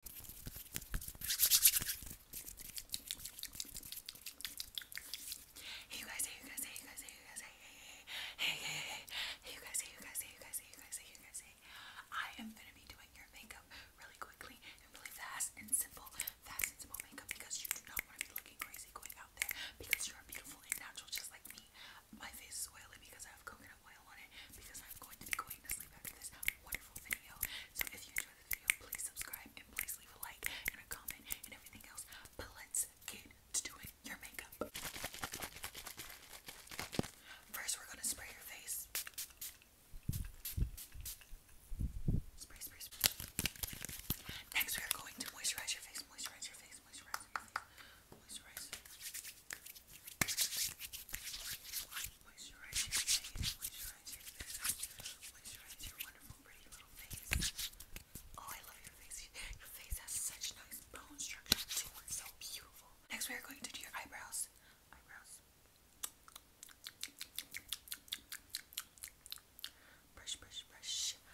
Hey guys, hey guys, hey guys, hey guys, hey hey hey hey guys, hey guys, hey guys, hey guys, hey guys, I am gonna be doing your makeup really quickly and really fast and simple, fast and simple makeup because you do not want to be looking crazy going out there because you are beautiful and natural just like me. My face is oily because I have coconut because I'm going to be going to sleep after this wonderful video. So if you enjoyed the video, please subscribe and please leave a like and a comment and everything else. But let's get to doing your makeup. First, we're gonna spray your face. Spray, spray, spray. Next, we are going to moisturize your face, moisturize your face, moisturize your face, moisturize. Oh, I love your face. Your face has such nice bone structure too. It's so beautiful. Next, we are going to do your eyebrows. Eyebrows. Brush, brush, brush.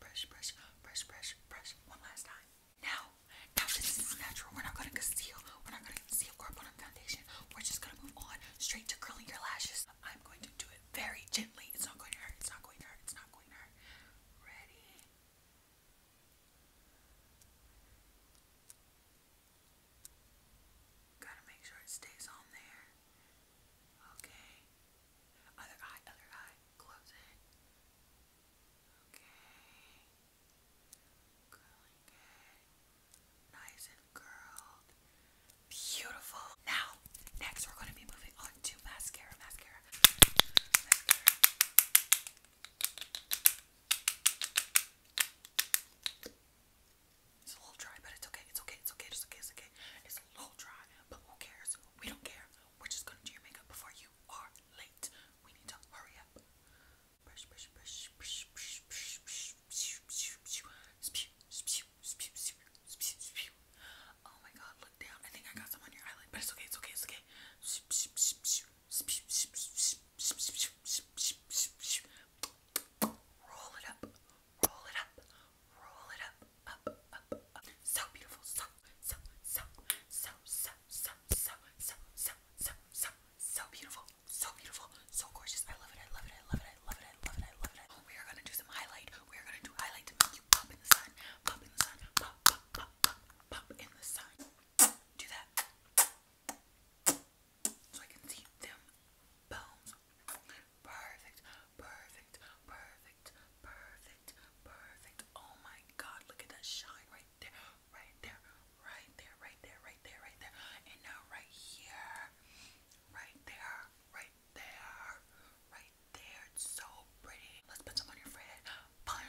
brush, brush, brush, brush, brush, brush. One last time. Now, now this is natural. We're not gonna conceal. We're not gonna conceal or put on foundation. We're just gonna move on straight to curling your lashes. I'm going to do it very gently. It's not going to hurt. It's not going to hurt. It's not going to hurt. Ready? Gotta make sure it stays on there. Okay. Other eye, other eye. Close it. Okay. Curling it. Nice and curled. Beautiful. Now, next we're going to be moving on to Mascara. Mascara. It's a little dry, but it's okay. It's okay. It's okay. It's okay. It's okay. It's a little dry, but who cares? We don't care. We're just gonna do your makeup before you are late. We need to hurry up. Brush, brush, brush, brush, brush, brush, brush, brush, brush, brush, brush, Oh my god, look down. I think I got some on your eyelid, but it's okay, it's okay, it's okay roll it up, roll it up, roll it up, up, up, up. So beautiful, so, so, so, so, so, so, so, so, so, so, so, so beautiful, so beautiful, so gorgeous. I love it, I love it, I love it, I love it, I love it, I love it. We are gonna do some highlight. We are gonna do highlight to make you pop in the sun, pop in the sun, pop, pop, pop, pop, pop in the sun. Do that. So I can see them bones. Perfect, perfect, perfect, perfect, perfect. Oh my god, look at that shine right there, right there, right there, right there, right there, right there. And now right here, right there, right there, right there. It's so pretty. Let's put some on your forehead. Fun,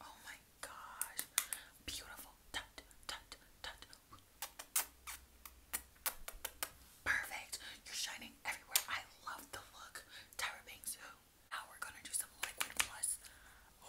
Oh my gosh. Beautiful. Perfect. You're shining everywhere. I love the look. Tyra Banks Now we're gonna do some liquid plus.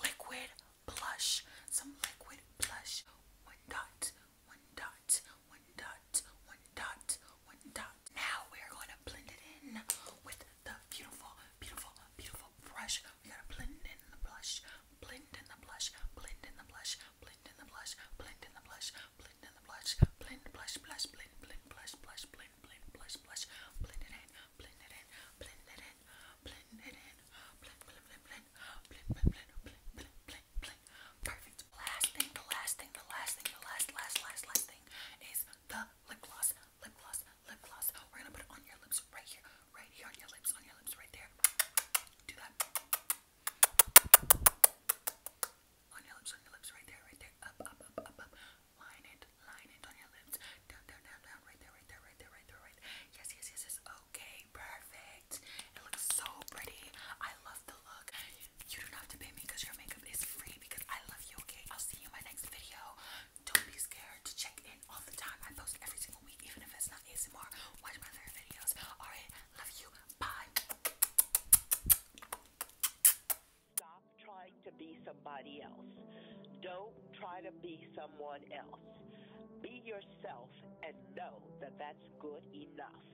Liquid blush. Some liquid blush. One dot. One dot. One dot. One dot. One dot. Now we are going to blend it in with the beautiful, beautiful, beautiful brush. We gotta blend in the blush, blend in the blush, blend in the blush, blend in the blush, blend in the blush, blend in the blush, blend, blush, blush, blend, blend, blush, blush, blend, blend, blush, blush, blend it in, blend it in, blend it in, blend it in, blend, blend, blend, blend, blend, blend, blend, blend, blend, blend. Perfect. Last thing, the last thing, the last thing, the last, last, last, last thing is the lip gloss lip gloss, lip gloss. We're gonna put it on your lips right here, right here on your lips, on your lips, right there. Do that. On your lips, on your lips, right there, right there. Up, up, up, up, up. Line it, line it on your lips. Down, down, down, down. Right there, right there, right there, right there, right there. Yes, yes, yes, yes. Okay, perfect. It looks so pretty. I love the look. You don't have to pay me because your makeup is free because I love you, okay? I'll see you in my next video. Don't be scared to check in all the time. I post every single week, even if it's not ASMR. Watch my other videos. Alright, love you. Bye. Stop trying to be somebody else. Don't try to be someone else. Be yourself and know that that's good enough.